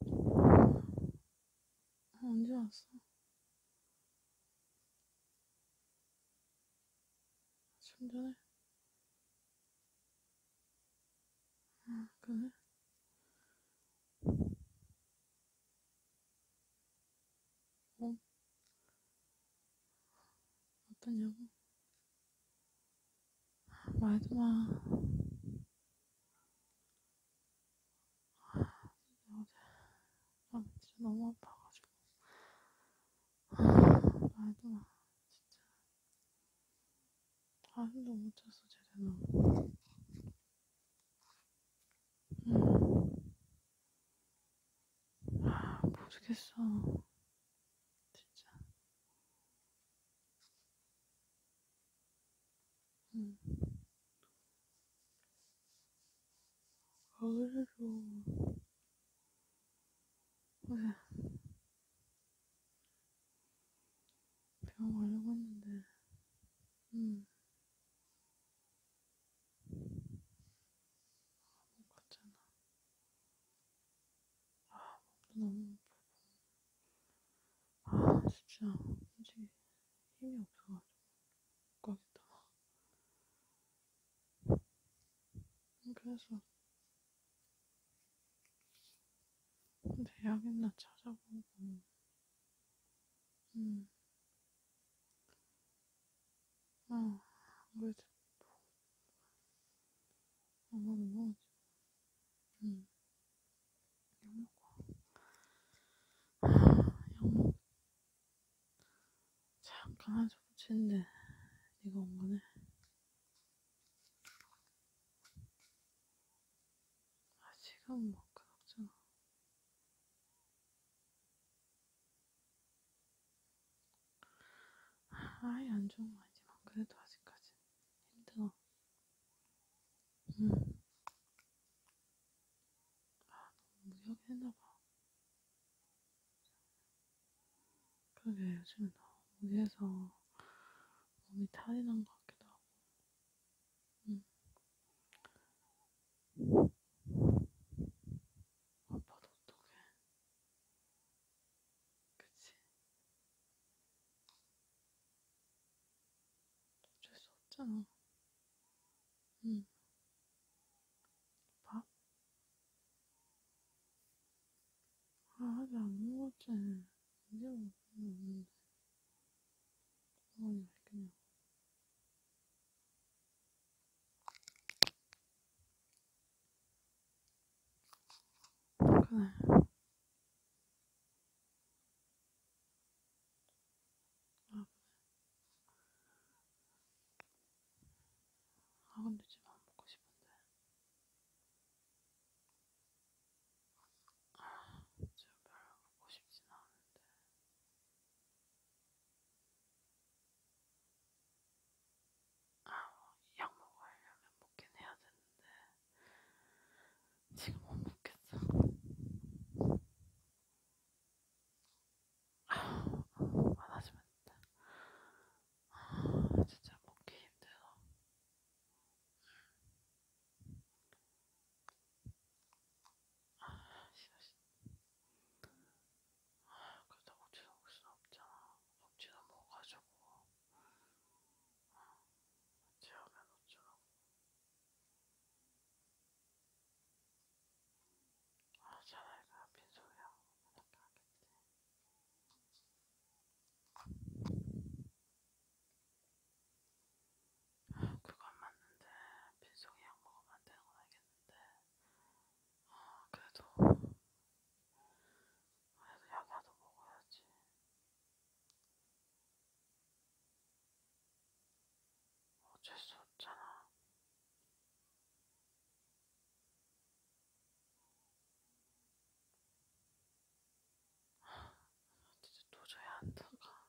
어, 언제 왔어? 좀 전에? 아, 그래? 어? 어떠냐고? 말도 마. 아, 진짜 너무 아파가지고. 아, 말도 마. 진짜. 잠도 아, 못 잤어, 제대로. 음. 아, 모르겠어. 진짜. 음. 가을에도, 왜, 병원 가려고 했는데, 음. 아무거잖아. 아, 몸도 너무 아프고. 아, 진짜 솔직히 힘이 없어가지고 거기다가. 그래서 대학이나 찾아보고. 음, 아, 뭐지? 엄마 먹어. 응. 약 먹어. 약 먹. 잠깐 하자 붙이는데 네가 온 거네. 아, 지금 막 그렇잖아. 아예 안 좋은 거 아니지만 그래도 아직까지 힘들어. 응. 음. 아 너무 무리하게 했나봐. 그게 요즘에 너무 무리해서 몸이 탈이 난 것 같기도 하고 응. 아빠도 어떡해. 그치? 어쩔 수 없잖아. 응. 밥? 아, 아직 안 먹었지. 이제 먹었는데. 아니 맛있겠냐 아, 그래 아 근데 지금 안 먹고 싶은데 제가 별로 갖고 싶진 않은데. 아, 약 먹으려면 먹긴 해야 되는데, 지금 못 먹겠어. 아, 많아지면 아, 진짜 먹기 힘들어. 그래도 억지로 먹을 수는 없잖아. 억지로 먹어가지고 재우면 어쩌라고. 아, 차라리 그냥 빈소리하고 이렇게 하겠지. 아, 그건 맞는데 빈속에 약 먹으면 안 되는 건 알겠는데 아, 그래도 그래도 약이라도 먹어야지. 어쩔 수 없잖아. 진짜 도저히 안 나가.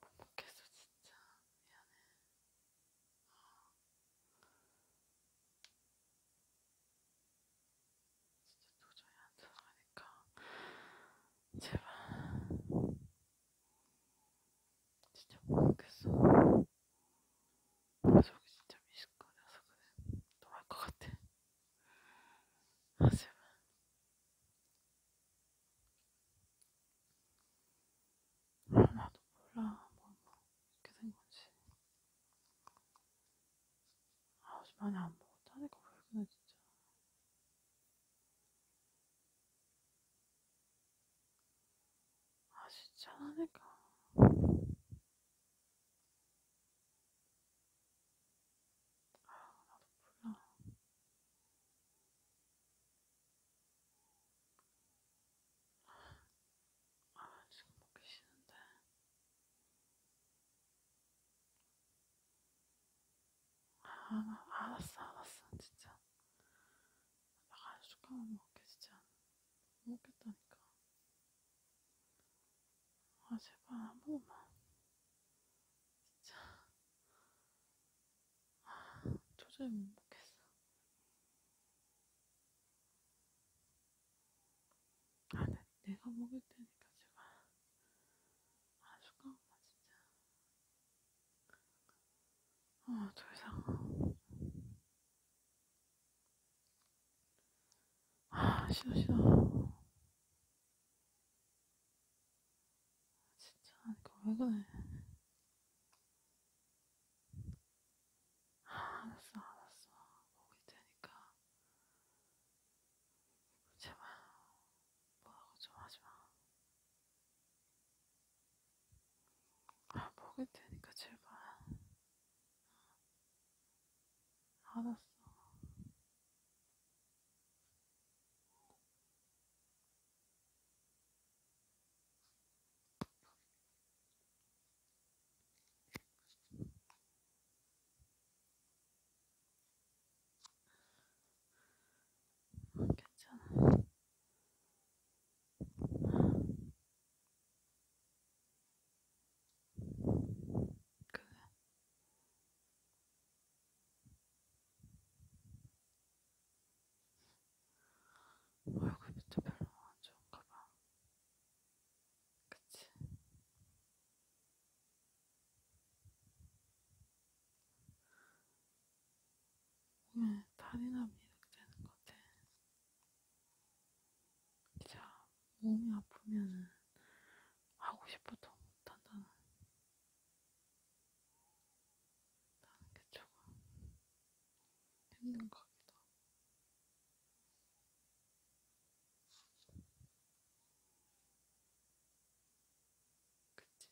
못 먹겠어, 진짜. 미안해. 진짜 도저히 안 들어가니까 제발 진짜 모르겠어 속이 진짜 미식거려서 그래. 도망갈 것 같아. 하지만 나도 몰라 뭐, 뭐 이렇게 된 건지. 아, 어제 많이 안 먹었다니까 왜 그래 진짜. 아 진짜 하니까. 아, 나도 몰라. 아, 지금 먹기 싫은데. 아, 알았어, 알았어, 진짜. 나 간식 조금만 먹게, 진짜. 못 먹겠다니까. 아, 제발 한 번만. 진짜. 아, 도저히 못 먹겠어. 아, 내, 내가 먹을 테니까 제발. 아, 숟가락만 진짜. 아, 더 이상. 아, 싫어, 싫어. 진짜, 이거 왜 그래. 아, 알았어, 알았어. 보고 있으니까. 제발, 뭐라고 좀 하지 마. 아, 먹을 테니까 제발. 알았어. 괜찮아. 그 얼굴 밑에 별로 안 좋은가 봐. 그치? 오늘 탈이 납니다. 되는 것 같아. 진짜 몸이 아프면은 하고 싶어도 못한다는 나는 게 조금 힘든 것 같기도 하고 그치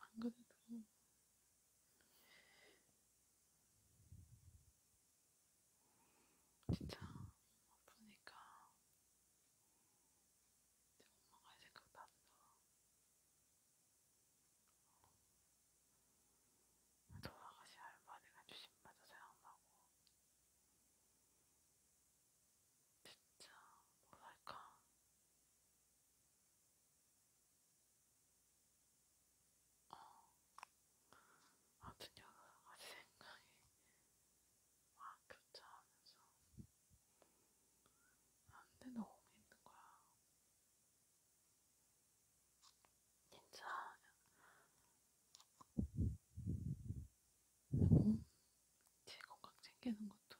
안 그래도 진짜 아프니까 엄마가 생각난다. 돌아가신 할머니가 주신 말도 생각나고 진짜 뭐랄까 어 아무튼 여러 가지 생각이 막 교차하면서 안돼 너무 힘든 거야. 진짜 그리고 어? 제 건강 챙기는 것도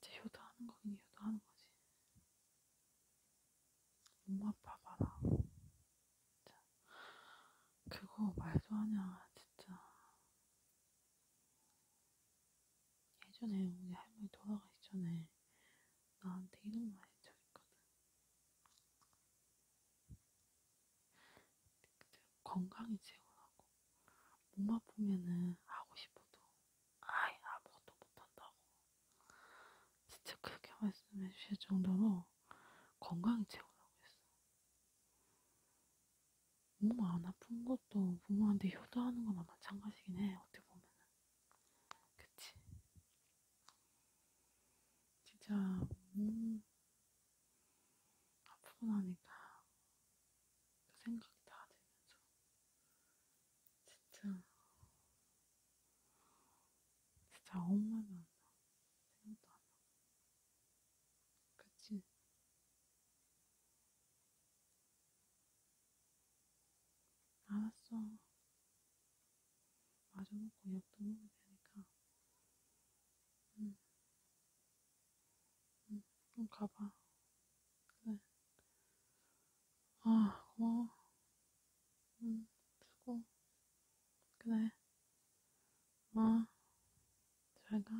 진짜 효도하는 거긴 효도하는 거지. 엄마 아빠 봐라. 진짜. 그거 말도 하냐, 진짜. 예전에 우리 할머니 돌아가기 전에 나한테 이런 말 해줬거든. 건강이 최고라고. 몸 아프면은 하고 싶어도 아예 아무것도 못한다고. 진짜 그렇게 말씀해 주실 정도로 건강이 최고라고 했어. 몸 안 아픈 것도 부모한테 효도하는 거나 마찬가지긴 해. 어떻게 보면은. 그치? 진짜 몸 음, 아프고 나니까 그 생각이 다 들면서 진짜 진짜 아무 말도 안 나. 생각도 안 나. 그치? 알았어. 마주먹고 약도 먹어야 되니까. 응. 응, 그럼 가봐. 그래. 아, 고마워. 응, 음, 수고. 그래. 아, 잘 가.